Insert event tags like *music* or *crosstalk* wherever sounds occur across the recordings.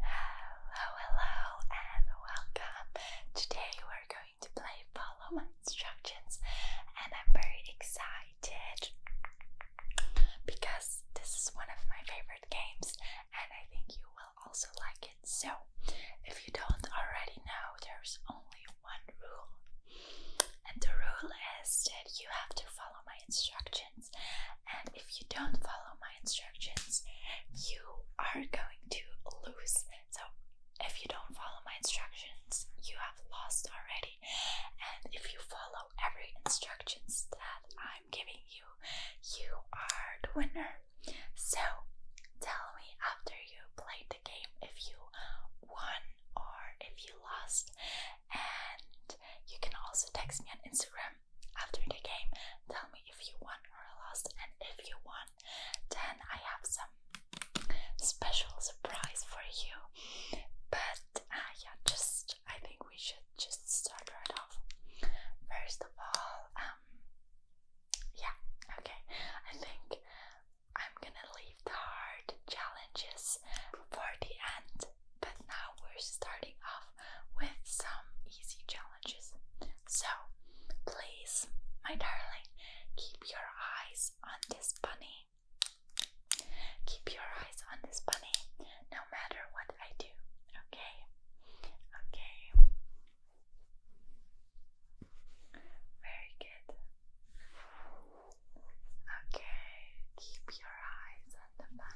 Hello, hello, and welcome. Today we're going to play Follow My Instructions, and I'm very excited because this is one of my favorite games, and I think you will also like it. So, if you don't already know, there's only one rule, and the rule is that you have to follow my instructions. And if you don't follow my instructions, you are going to lose. So, if you don't follow my instructions, you have lost already. And if you follow every instructions that I'm giving you, you are the winner. So, tell me after you played the game if you won or if you lost. And you can also text me on Instagram after the game. Tell me if you won or lost, and if you won, then I have some special surprise for you. But uh, yeah, just I think we should just start right off. First of all, um, yeah, okay, I think I'm gonna leave the hard challenges for the end but now we're starting off with some easy challenges. So, please, my darling, keep your eyes on this bunny. Keep your eyes on this bunny no matter what I do, okay? Okay. Very good. Okay, keep your eyes on the bunny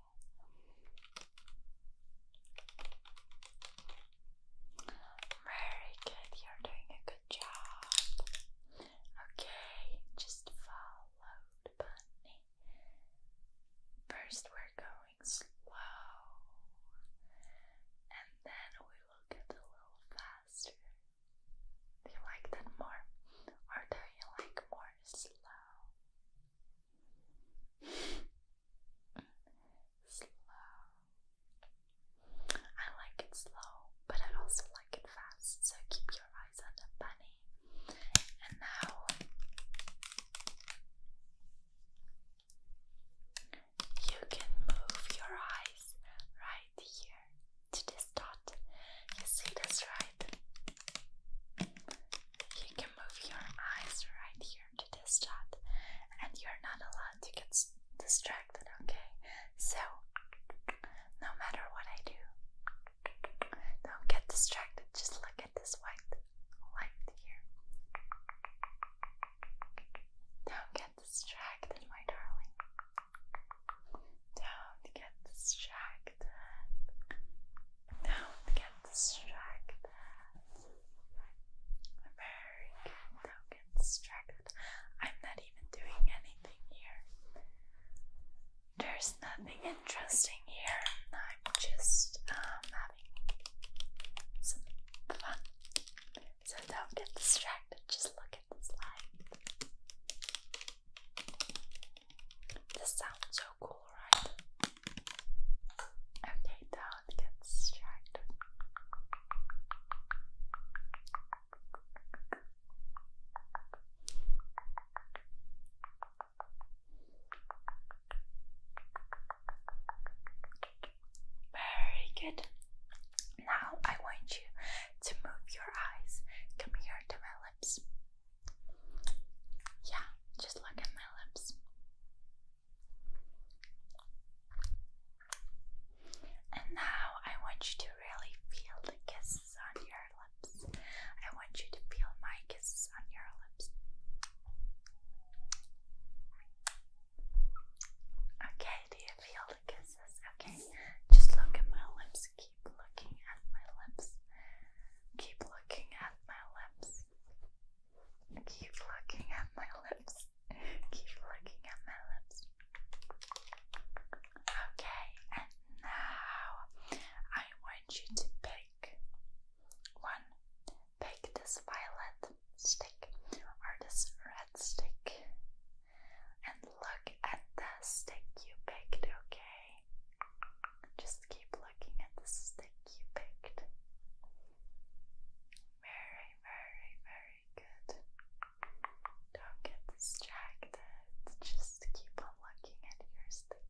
Very good, you're doing a good job. Okay, just follow bunny. First, we're going slow, and then we will get a little faster. Do you like that more, or do you like more slow? Slow. I like it slow, but I also like it fast, so keep your eyes on the bunny. And now you can move your eyes right here to this dot. You see this, right? You can move your eyes right here to this shot, and you're not allowed to get distracted, okay? So, no matter what I do, don't get distracted. Just look at this white light here. Don't get distracted, my darling. Don't get distracted. Don't get distracted. Very good. Don't get distracted. I'm not even doing anything here. There's nothing interesting here. I'm just um, having some fun. So don't get distracted. Just look at this light. This sounds so cool, right? Okay, don't get distracted. Very good. Now I want you to move your eyes. Come here to my lips. Yeah, just look at my lips. And now I want you to really feel the kisses on your lips. I want you to feel my kisses on your lips. Okay, do you feel the kisses? Okay, just look at my lips. Keep looking at my lips. Keep looking at my lips lips. Keep looking at my lips. Keep looking at my lips. Okay, and now I want you to pick one. Pick this violet stick or this red stick and look at the stick you picked, okay? Just keep looking at the stick you picked. Very, very, very good. Don't get distracted. Just keep on looking at your stick.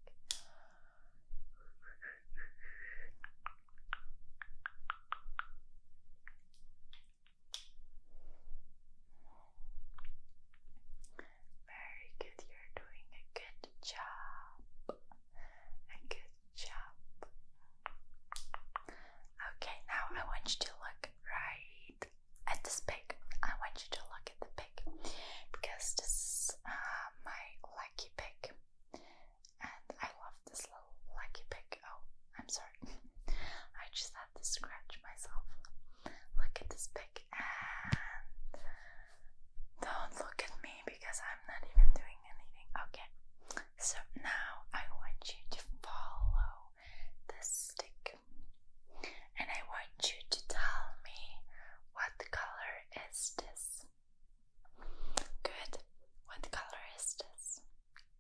Very good, you're doing a good good job. A good job. Okay, now I want you to look right at this pig. I want you to look at the pig because this is uh, my lucky pig, and I love this little lucky pig. Oh, I'm sorry, *laughs* I just had to scratch myself. Look at this pig, and don't look at me because I'm not even doing anything. Okay, so now I want you to follow this stick and I want you to tell me what color is this. Good. What color is this?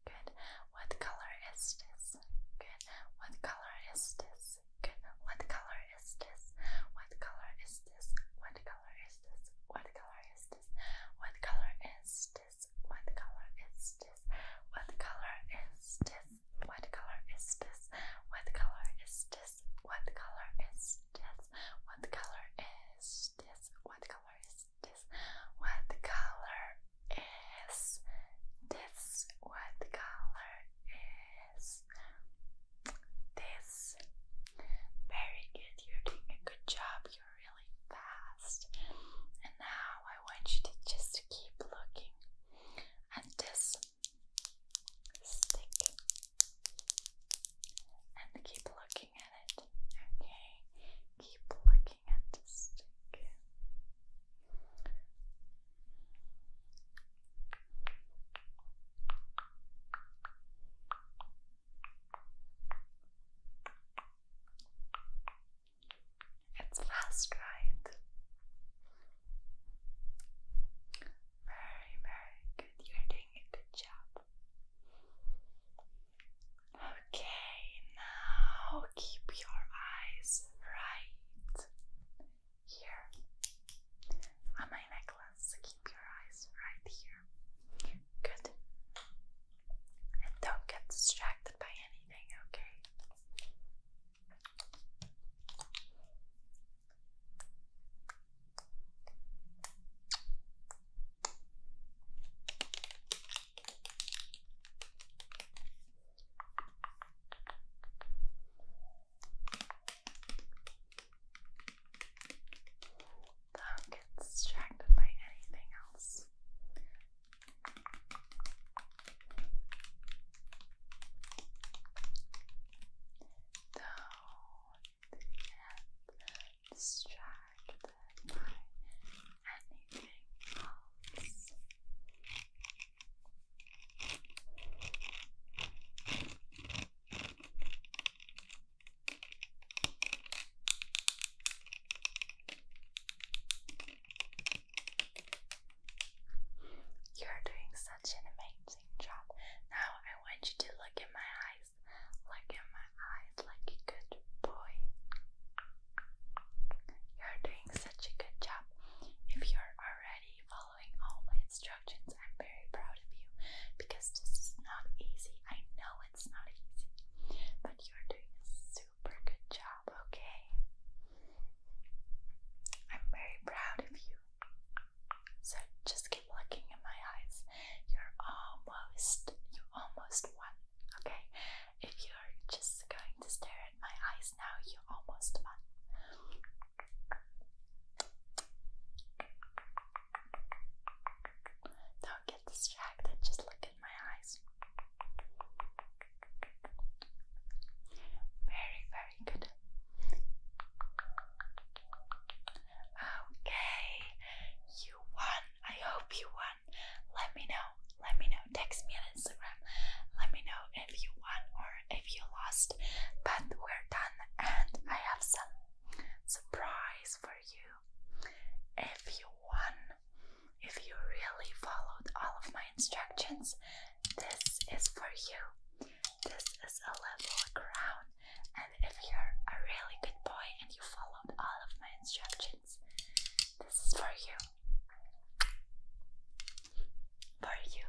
Good. What color is this? Good. What color is this? Good. What color is this? What color is this? What color? color is this? What color is this? What color is this? What color is this? What color is this? What color is this? What color is this? What color is this? What color is this? What color is this? What color is this? this, this. Very good, you're doing a good job, you're really fast. And now I want you to just keep looking at this stick and keep looking at it, okay? Keep looking at the stick. It's fast, right? Very, very good. You're doing a good job. Okay, now keep your eyes right here on my necklace eyes. Keep your eyes right here. Good. And don't get distracted by anything, okay? Don't get distracted by anything else. Don't get distracted by anything else. You're doing such an amazing job. Now I want you to look in my eyes. Look in my eyes like a good boy. You're doing such a good job. If you're already following following all my instructions. I'm very proud of you because this is not easy. I know it's not easy, but you're doing a super good job, okay? I'm very proud of you. So just keep looking in my eyes. You're almost, you almost won, okay? If you're just going to stare at my eyes now, you almost won. Don't get distracted, just look in my eyes. Very, very good. Okay, you won. I hope you won. Let me know. Let me know. Text me on Instagram. Let me know if you won or if you lost. But we're done, and I have some surprise for you. If you won, if you really followed all of my instructions, this is for you. This is a level crown. And if you're a really good boy and you followed all of my instructions, this is for you. For you.